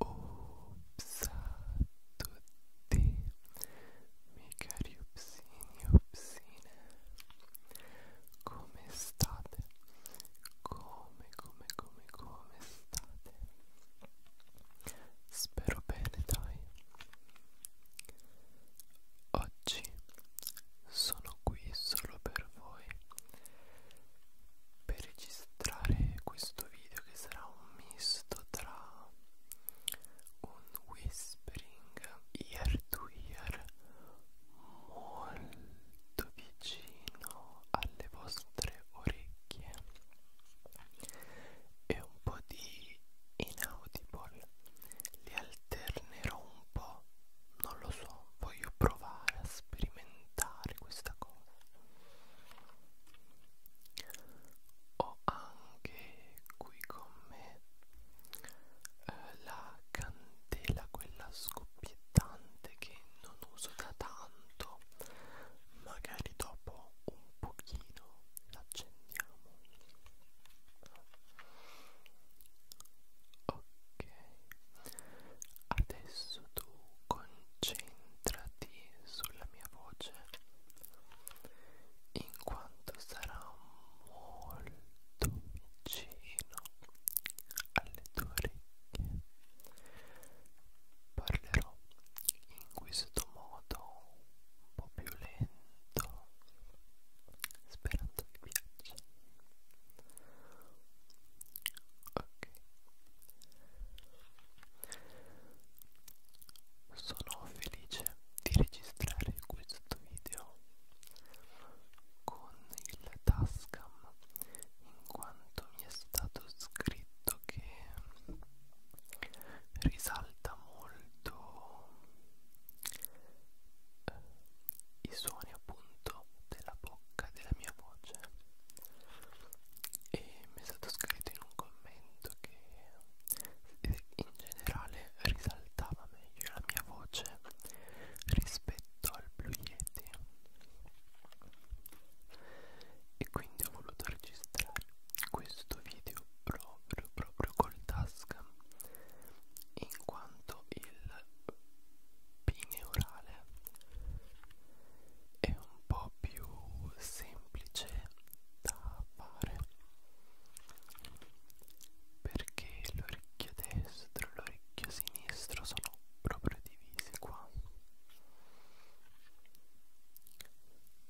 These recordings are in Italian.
Ops a tutti, miei cari opsini e opsine, come state? Come, come, come, come state? Spero bene, dai. Oggi sono qui solo per voi per registrare questo video che sarà un misto tra un whispering ear to ear molto vicino alle vostre orecchie e un po' di inaudible li alternerò un po' non lo so voglio provare a sperimentare questa cosa ho anche qui con me eh, la candela quella scoppiettante che non uso da tanto magari dopo un pochino l'accendiamo ok adesso tu concentrati sulla mia voce in quanto sarà molto vicino alle tue orecchie parlerò in questo modo un po' più lento sperando che piaccia ok sono felice di registrare questo video con il Tascam in quanto mi è stato scritto che risalta molto eh, i suoni appunto della bocca della mia voce e mi è stato scritto in un commento che in generale risaltava meglio la mia voce rispetto al Blue Yeti e quindi ho voluto registrare questo video proprio proprio col task in quanto il pineurale è un po' più semplice da fare perché l'orecchio destro e l'orecchio sinistro sono proprio divisi qua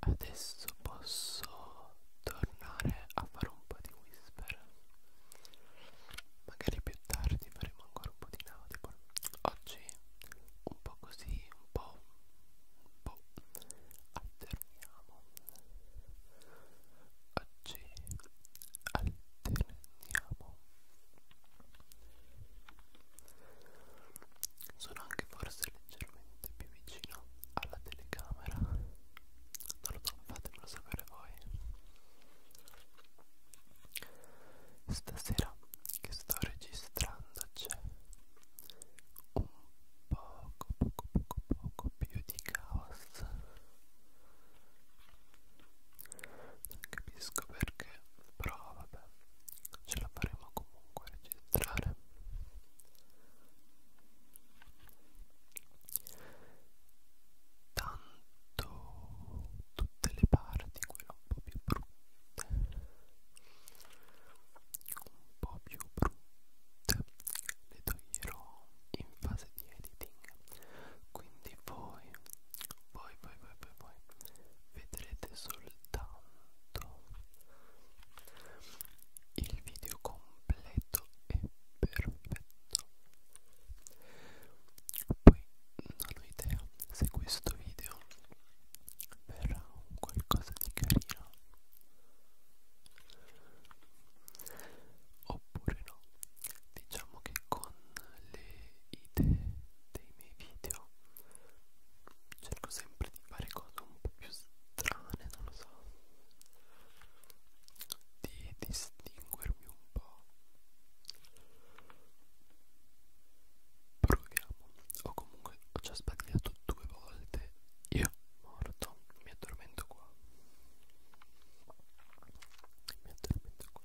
adesso posso tornare a fare un po' di whisper magari più tardi faremo ancora un po' di nautical oggi un po' così un po' un po' alterniamo oggi alterniamo sono anche forse leggermente più vicino alla telecamera non lo so fatemelo sapere voi stasera che sto registrando c'è un poco poco poco poco più di caos non capisco perché però vabbè ce la faremo comunque a registrare tanto tutte le parti quelle un po' più brutte un po' più brutte le toglierò in fase di editing quindi voi voi voi voi voi, voi vedrete soltanto il video completo è perfetto poi non ho idea se questo video verrà qualcosa di carino oppure no diciamo che con le idee dei miei video cerco sempre di fare cose un po' più strane, non lo so, di distinguermi un po'. Proviamo, o comunque ho già sbagliato due volte, io morto, mi addormento qua. Mi addormento qua.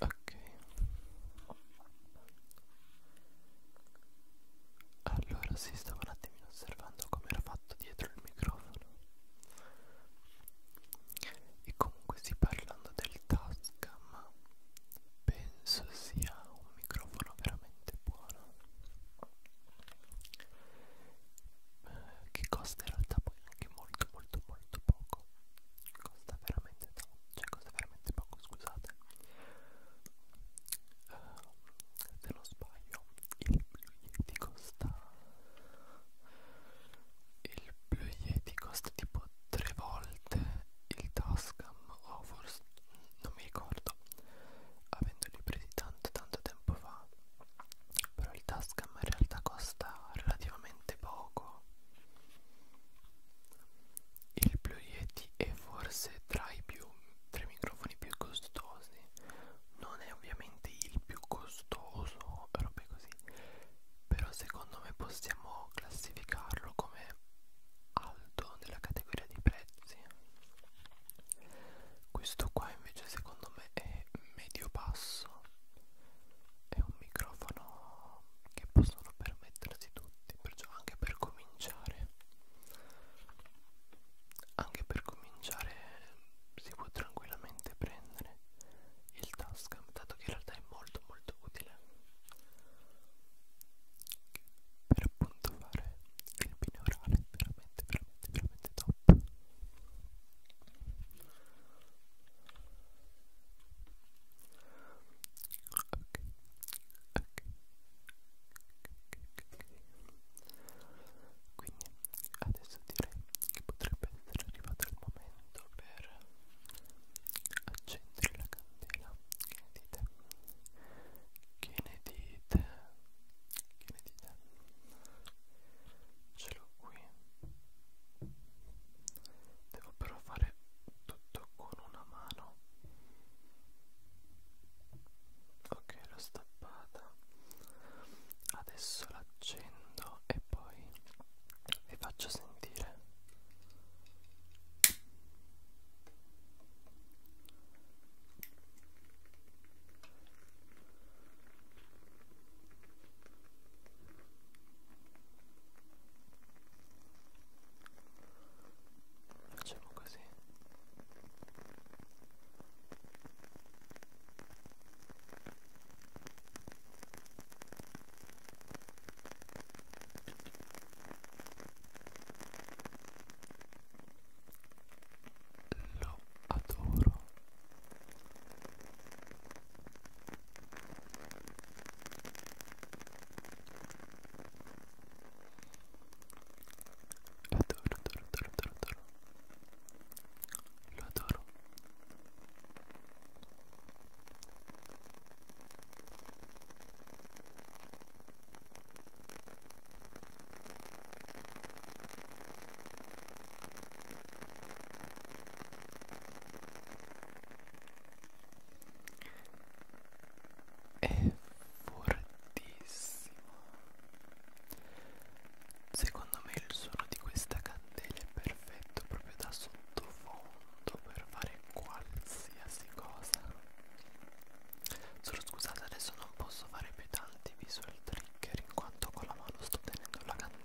Ok, allora si stava un attimino osservando come era fatto dietro il microfono e comunque sì, parlando del Tascam, penso sia un microfono veramente buono. Eh, che costa in realtà poi anche molto molto molto poco. Costa veramente tanto, cioè costa veramente poco, scusate. Eh, se non sbaglio il Blue Yeti costa il Blue Yeti costa tipo tre volte il Tascam o forse non mi ricordo avendoli presi tanto tanto tempo fa però il Tascam in realtà costa relativamente poco il Blue Yeti è forse tra i più tre microfoni più costosi non è ovviamente il più costoso, robe così, però secondo me possiamo classificarlo come alto nella categoria di prezzi. Questo qua invece secondo me è medio basso, è un microfono che possono permettersi tutti, perciò anche per cominciare anche per cominciare si può tranquillamente prendere il Tascam dato che in realtà è molto molto utile per appunto fare il binaurale veramente veramente veramente top ok ok quindi adesso direi che potrebbe essere arrivato il momento per accendere la candela che ne dite? che ne dite? che ne dite? ce l'ho qui devo però fare tutto con una mano ok l'ho stappata adesso l'accendo e poi vi faccio sentire facciamo così lo adoro. Adoro, adoro, adoro, adoro, adoro. Lo adoro. È fortissimo Secondo me il suono di questa candela è perfetto proprio da sottofondo per fare qualsiasi cosa. Solo scusate adesso non posso fare più tanti visual trigger in quanto con la mano sto tenendo la candela.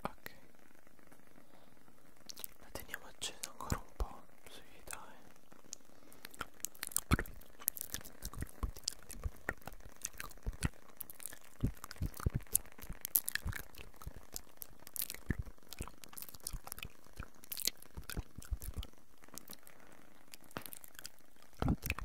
ok la teniamo accesa ancora un po' sì dai Allora,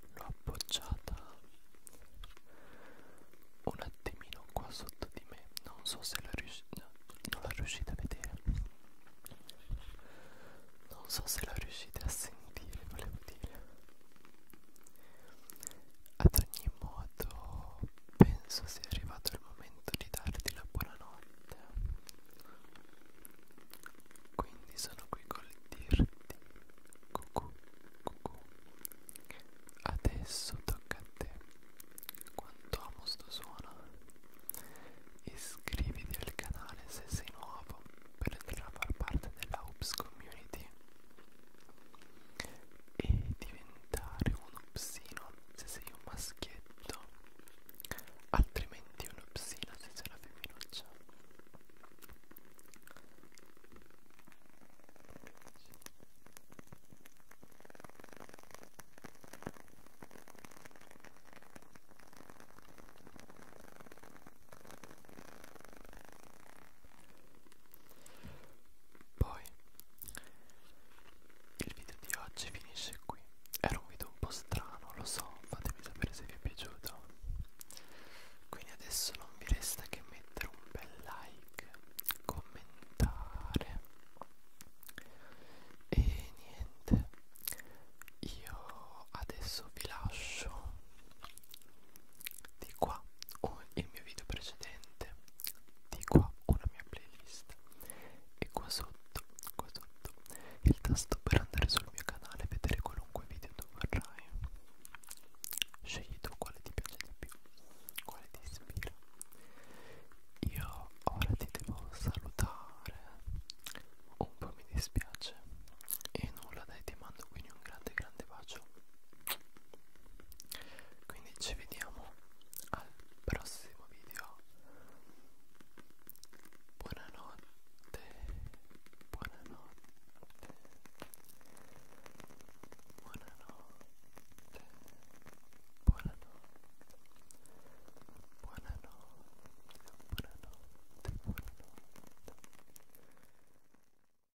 l'ho appoggiata un attimino qua sotto di me non so se la rius no, non la riuscite a vedere non so se la riuscite a sentire volevo dire ad ogni modo, penso sia arrivato il momento di darti la buonanotte. Quindi sono qui col dirti cucù, cucù. Adesso tocca a te. Quanto amo sto suono. Iscriviti al canale se sei nuovo per entrare a far parte della Hoops Community e diventare un psino se sei un maschietto altrimenti un psino se sei una femminuccia poi il video di oggi finisce qui. Era un video un po' strano, lo so, fatemi sapere se vi è piaciuto. Quindi adesso non vi resta che mettere un bel like, commentare e niente. Io adesso vi lascio di qua ho il mio video precedente di qua una mia playlist e qua sotto qua sotto il tasto per andare sul mio canale e vedere qualunque video tu vorrai scegli tu quale ti piace di più quale ti ispira io ora ti devo salutare un po' mi dispiace e nulla dai ti mando quindi un grande grande bacio quindi ci vediamo al prossimo video buonanotte buonanotte buonanotte buonanotte buonanotte buonanotte buonanotte